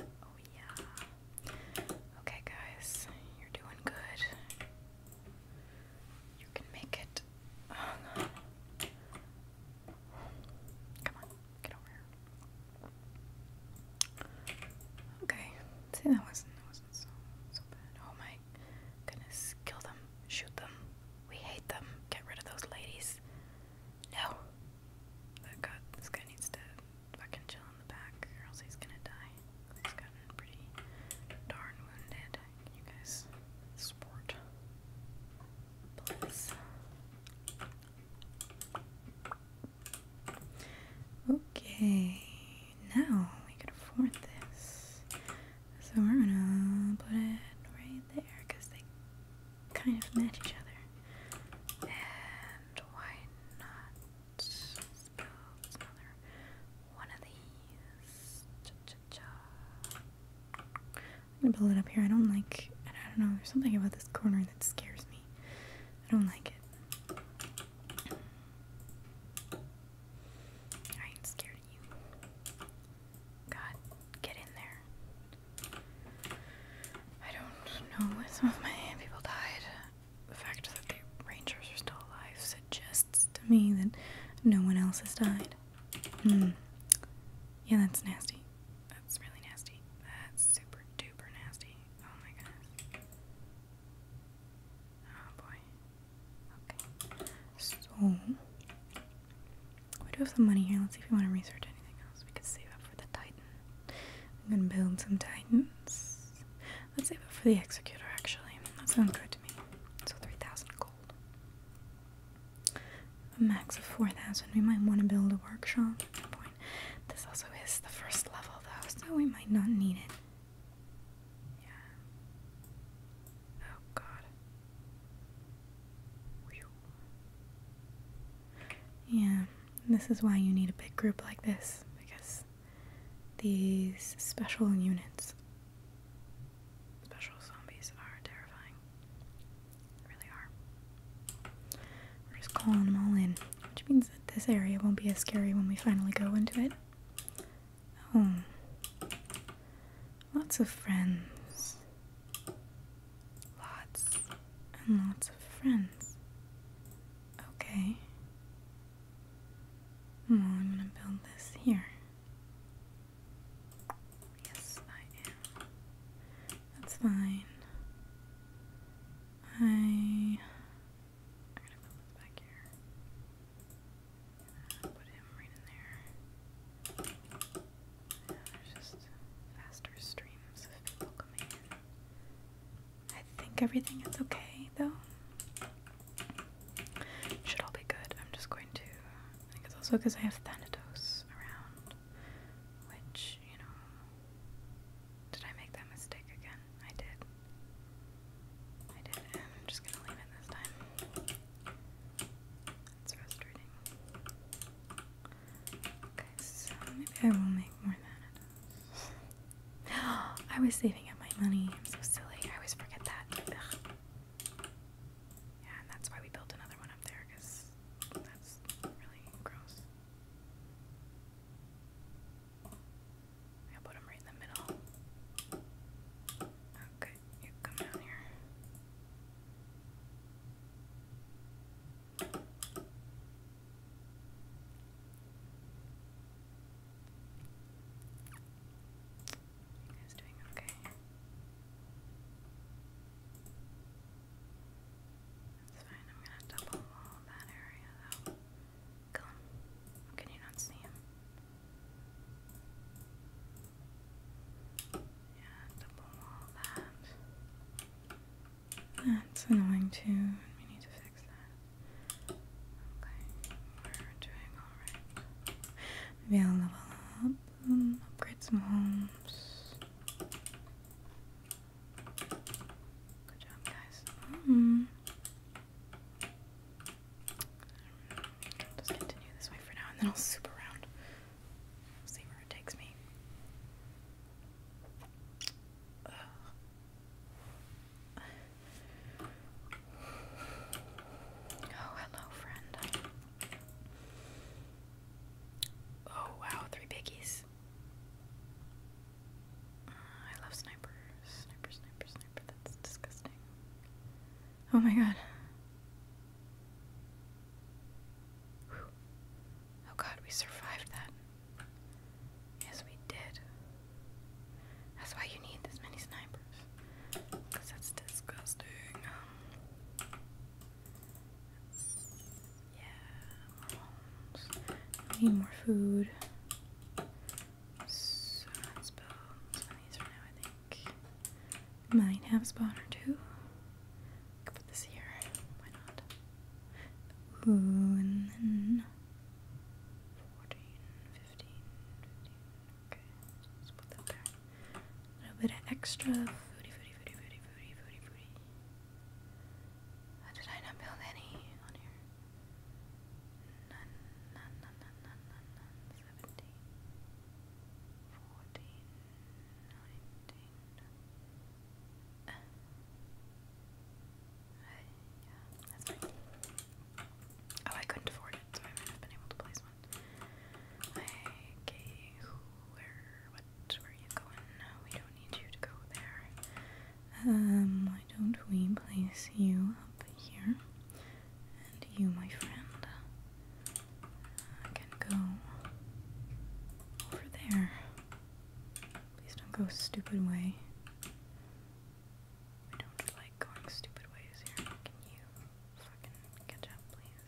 Oh yeah. Okay guys, you're doing good. You can make it. Oh, Come on, get over here. Okay, see that wasn't so bad. Oh my goodness, kill them, shoot them. We hate them. Get rid of those ladies. No. That god, this guy needs to fucking chill in the back, or else he's gonna die. He's gotten pretty darn wounded. Can you guys sport? Please. Okay, now we can afford this. So we're gonna put it right there because they kind of match each other. And why not? one of these. I'm gonna build it up here. I don't like. I don't know. There's something about this corner that scares me. I don't like it. I ain't scared of you. God, get in there. I don't know. Some of my people died. The fact that the Rangers are still alive just to me that no one else has died. Hmm. Yeah, that's nasty. That's really nasty. That's super duper nasty. Oh my god. Oh boy. Okay. So, we do have some money here. Let's see if we want to research anything else. We could save up for the Titans. I'm gonna build some Titans. Let's save it for the executor actually. That sounds good to me. So 3,000 gold. A max of 4,000. We might want to build a workshop point. This also is the first level though, so we might not need it. Yeah. Oh god. Yeah, this is why you need a big group like this because these special units. Special zombies are terrifying. They really are. We're just calling them all in, which means that this area won't be as scary when we finally go into it. Oh. Lots of friends. Lots and lots of friends. Okay. I'm gonna build this here. Yes, I am. That's fine. I. I'm gonna build this back here. put him right in there. there's just faster streams of people coming in. I think everything is okay though. Should all be good. I'm just going to. I think it's also because I have Thanatos around, which, you know. Did I make that mistake again? I did. I did, I'm just gonna leave it this time. It's frustrating. Okay, so maybe I will make more Thanatos. (gasps) I was saving up my money. I'm so silly. I always forget that. Yeah, and that's why we built another one up there because that's really gross. i put them right in the middle. Okay, oh, you come down here. You guys doing okay? That's fine, I'm gonna double wall that area though. Kill Can you not see him? Yeah, double wall that. That's annoying too, we need to fix that. Okay, we're doing alright. Maybe I'll level up, um, upgrade some homes. Good job, guys. Um, just continue this way for now, and then I'll swoop around. See where it takes me. Oh, hello, friend. Oh, wow, three biggies. Uh, I love sniper. Sniper, sniper, sniper. That's disgusting. Oh my god. Oh god, we survived that. Yes, we did. That's why you need this many snipers. Because that's disgusting. Um, yeah, need more food. Might have spawn or two. put this here. Why not? Ooh, and then 15, 15. Okay, so let's put that there. A little bit of extra foodie, foodie, foodie, foodie, foodie, foodie, foodie. How did I not build any on here? None, none, none, none, none, none, none. 17, 14, 19. Uh, yeah, that's right. Oh, I couldn't afford I have been able to place one. Okay, who, where, what, where are you going? we don't need you to go there. Um, why don't we place you up here? And you, my friend, uh, can go over there. Please don't go stupid way. I don't like going stupid ways here. Can you fucking catch up, please?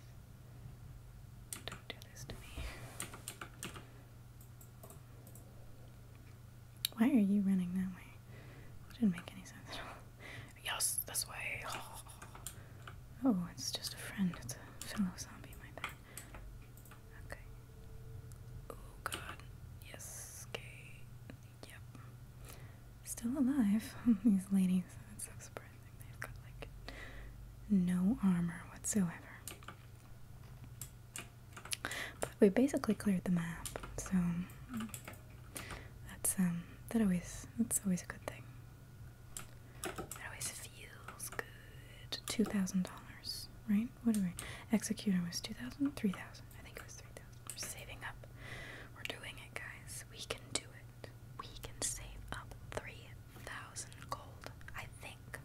Don't do this to me. Why are you running that way? That didn't make any sense at all. Yes, this way. Oh, oh it's just a friend. It's a fellow zombie, my bad. Okay. Oh god. Yes, okay. Yep. Still alive. (laughs) These ladies. It's so surprising. They've got like no armor whatsoever. But we basically cleared the map, so that's um that always that's always a good thing. That always feels good. Two thousand dollars, right? What do we? Executor was two thousand, three thousand. I think it was three thousand. We're saving up. We're doing it, guys. We can do it. We can save up three thousand gold. I think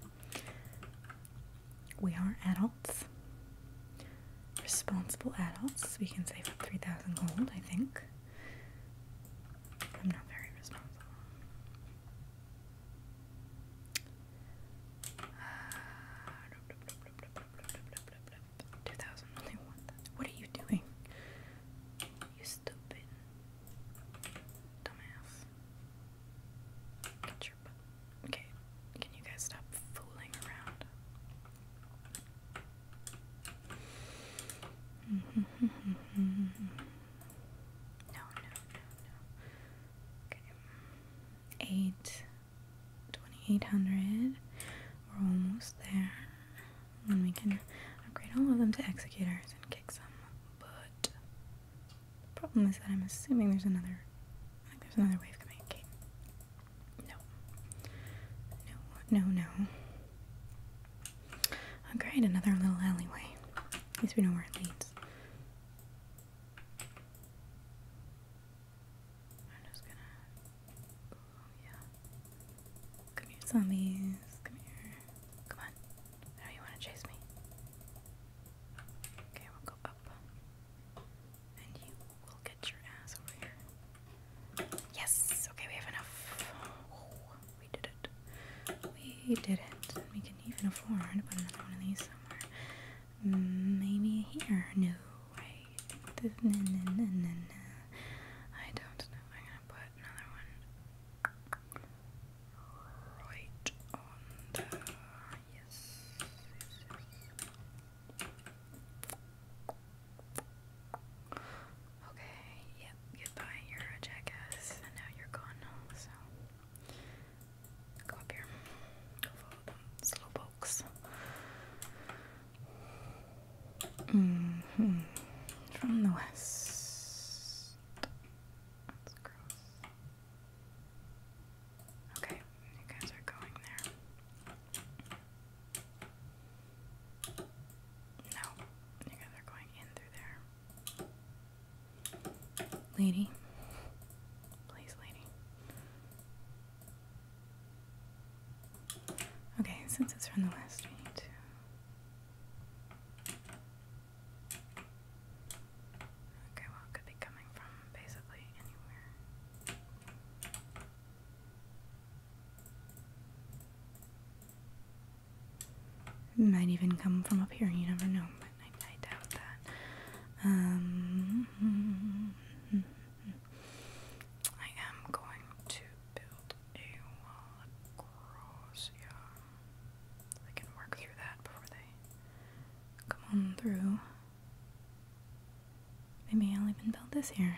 we are adults, responsible adults. We can save up three thousand gold. I think. I'm not very responsible. Uh, Two thousand, What are you doing? You stupid dumbass. Get your butt. Okay, can you guys stop fooling around? (laughs) no, no, no, no. Okay. Eight 2800. We're almost there. And we can upgrade all of them to executors and kick some butt. The problem is that I'm assuming there's another. I think there's another wave coming. Okay. No. No, no, no. Oh, another little alleyway. At least we know where it leads. I'm just gonna Oh, yeah. Come here, zombies. Come here. Come on. I you want to chase me. Okay, we'll go up. And you will get your ass over here. Yes! Okay, we have enough. we did it. We did it. We can even afford to put another one of these somewhere. Maybe here. No, I don't know. I'm gonna put another one right on the yes. Okay. Yep. Goodbye. You're a jackass, and now you're gone. So go up here. Go Mm-hmm. From the west. That's gross. Okay, you guys are going there. No, you guys are going in through there. Lady. Please, lady. Okay, since it's from the west, we Okay, well, it could be coming from basically anywhere. might even come from up here, you never know, I, doubt that. Um, (laughs) hmm, hmm, hmm, I am going to build a wall across, yeah. I can work through that before they come on through. Maybe I'll even build this here.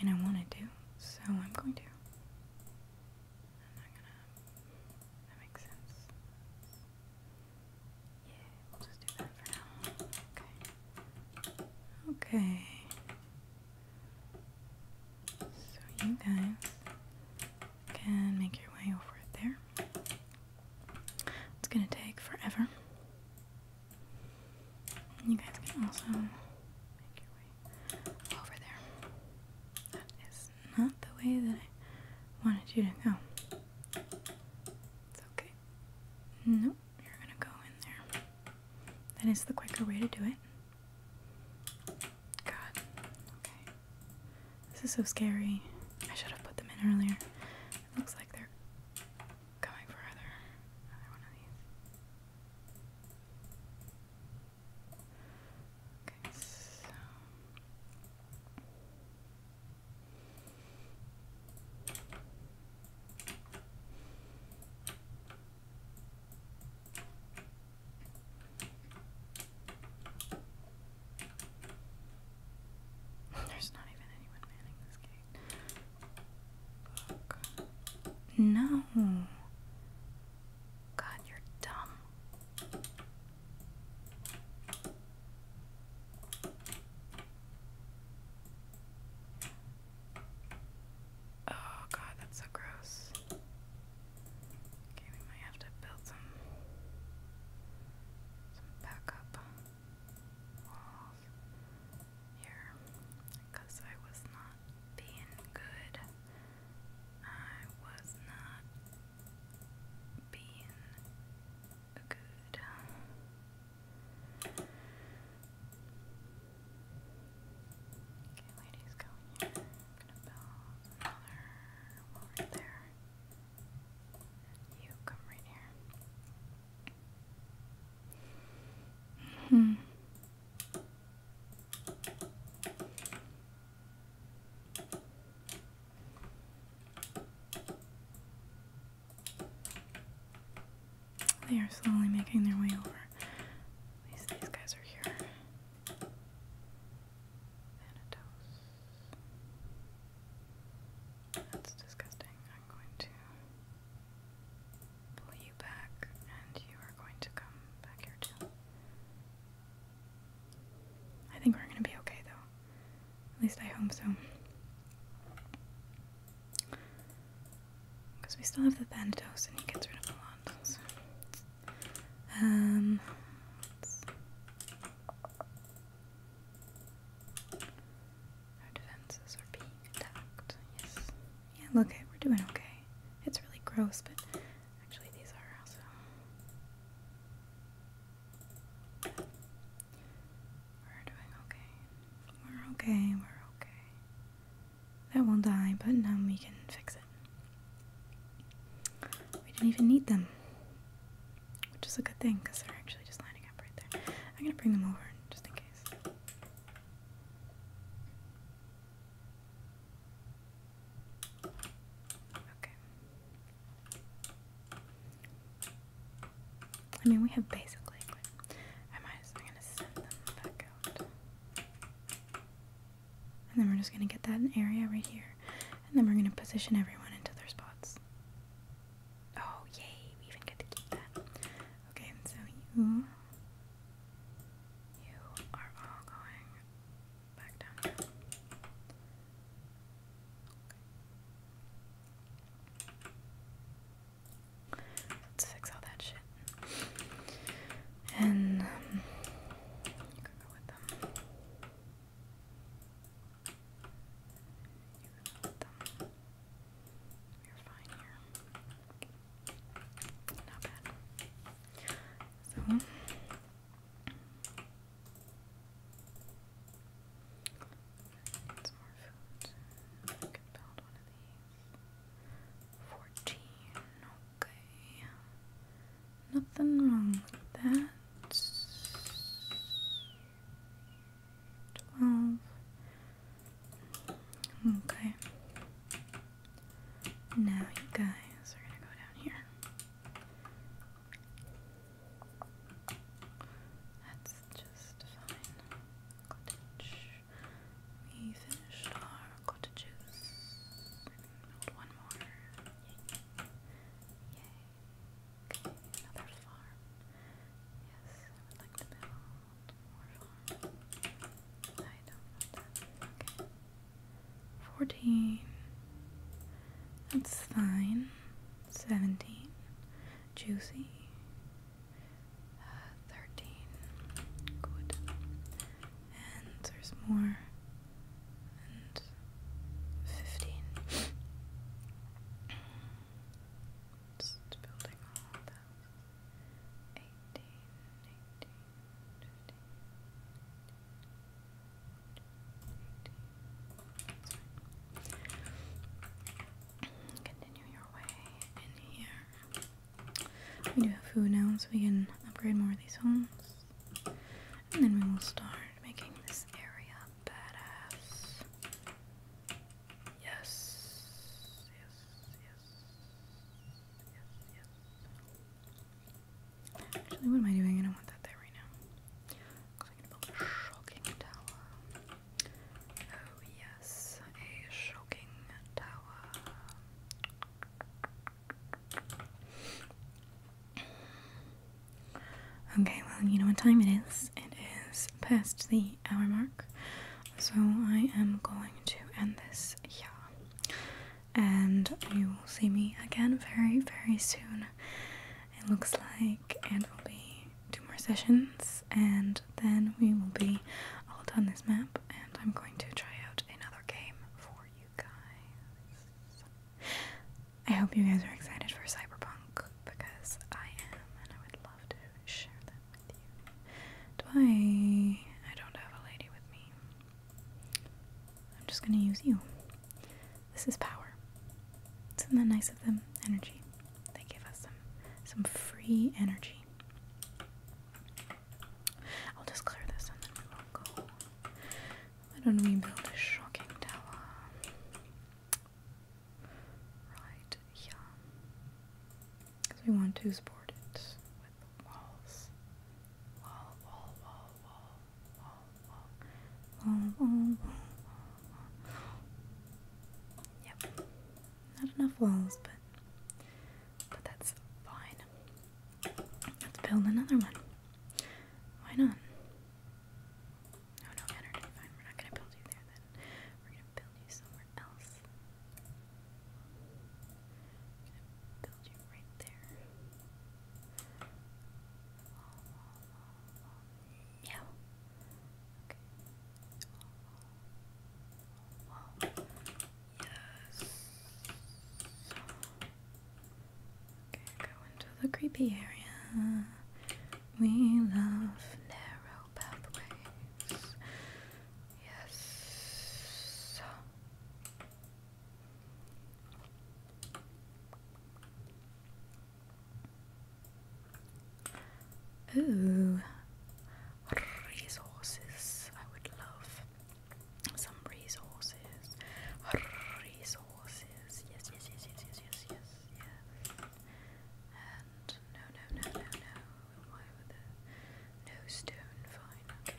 I mean, I wanted to, so I'm gonna. That makes sense. Yeah, we'll just do that for now. Okay. Okay. So you guys can make your way over there. It's gonna take forever. You guys can also make your way over there. That is not the way that I wanted you to go. It's okay. No, you're gonna go in there. That is the quicker way to do it. God, okay. This is so scary. I should have put them in earlier. looks like they're coming for other, another one of these. Okay, so. There's not even anyone manning this gate. No. God, you're dumb. Oh god, that's so gross. Okay, we might have to build some backup walls here because I was not being good. I was not being good. Okay, ladies, go in here. I'm gonna build another wall right there. And you come right here. Hmm. Okay. They are slowly making their way over. At least these guys are here. That's disgusting. I'm going to pull you back, and you are going to come back here too. I think we're going to be okay though. At least I hope so. Because we still have the Thanatos and he gets rid of a lot. So. Um, Our defenses are being attacked. Yes. Yeah, okay, we're doing okay. It's really gross, but actually, these are also. We're doing okay. We're okay, we're okay. That will not die, but now we can fix it. We didn't even need them. Which is a good thing, because they're actually just lining up right there. I'm gonna bring them over just in case. Okay. I mean, we have basic liquid. I might just, I'm gonna send them back out. And then we're just gonna get that area right here. And then we're gonna position everyone into their spots. Oh, yay, we even get to keep that. Okay, so you. You are all going back down Let's fix all that shit. And you can go with them. You can go with them. You're fine here. Not bad. So. Fourteen. Okay. Nothing wrong with that. Twelve. Okay. Now you guys are gonna go down here. That's just fine. Cottage. We finished our cottages. one more. Yay. Okay, another farm. Yes, I would like to build more farms. I don't want Okay. Fourteen. That's fine. Seventeen. Juicy. Uh, 13. Good. And there's more. And 15. Just building all of that. 18, 18, 15. 18. That's right. Continue your way in here. We do have food now, so we can upgrade more of these homes. And then we will start making this area badass. Yes. Yes, yes. Yes, Actually, what am I doing? I don't want that there right now a shocking tower. Oh yes, a shocking tower. Okay, well, you know what time it is. It is past the hour mark, so I am going to end this yeah, And you will see me again very, very soon. It looks like, and will be two more sessions and then we will be all done this map and I'm going to try out another game for you guys. I hope you guys are excited for Cyberpunk because I am and I would love to share that with you. Do I... I don't have a lady with me. I'm just gonna use you. This is power. Isn't that nice of them? Energy. They give us some some free energy. I'll just clear this and then we will go. Why don't we build a shocking tower? Right here. Because we want to support it with walls. wall, wall, wall, wall, wall, wall, wall, Yep. Not enough walls, but but that's fine. Let's build another one. Why not? Oh no, energy. Fine, we're not gonna build you there then. We're gonna build you somewhere else. build you right there. Meow. Okay. Yes. Okay, go into the creepy area. We love narrow pathways. Yes. Ooh, resources. I would love some resources. Resources. Yes, yes, yes, yes, yes, yes, yes, yes. And no, no, no, no, no. Why would the no stone? Fine. Okay.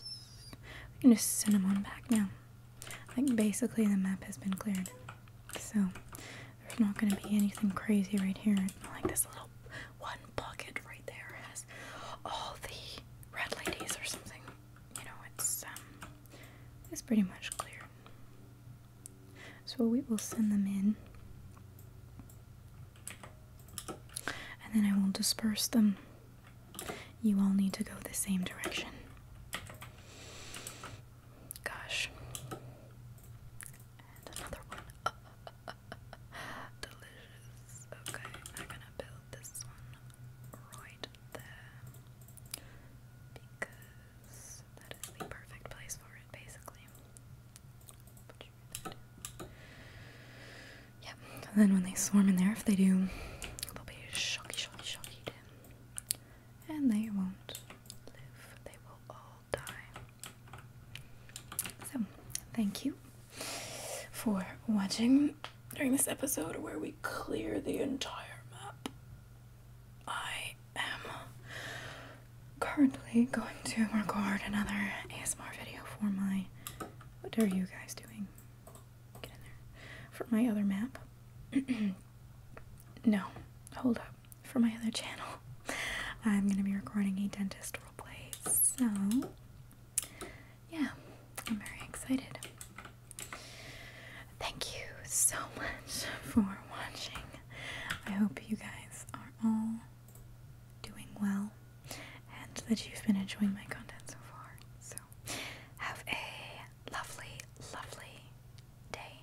Let's... We can just send them on back now. Like basically the map has been cleared, so there's not going to be anything crazy right here. Like this little one pocket right there has all the red ladies or something. You know, it's um, it's pretty much clear. So we will send them in, and then I will disperse them. You all need to go the same direction. Gosh. And another one. (laughs) Delicious. Okay, I'm gonna build this one right there because that is the perfect place for it, basically. Yep, then when they swarm in there, if they do, they'll be shocky, shocky, shocky. And they won't live. They will all so, thank you for watching during this episode where we clear the entire map. I am currently going to record another ASMR video for my. What are you guys doing? Get in there. For my other map. (clears throat) no, hold up for my other channel. (laughs) I'm going to be recording a dentist roleplay, so yeah, I'm very excited. Thank you so (laughs) much for watching. I hope you guys are all doing well and that you've been enjoying my content so far. So, have a lovely, lovely day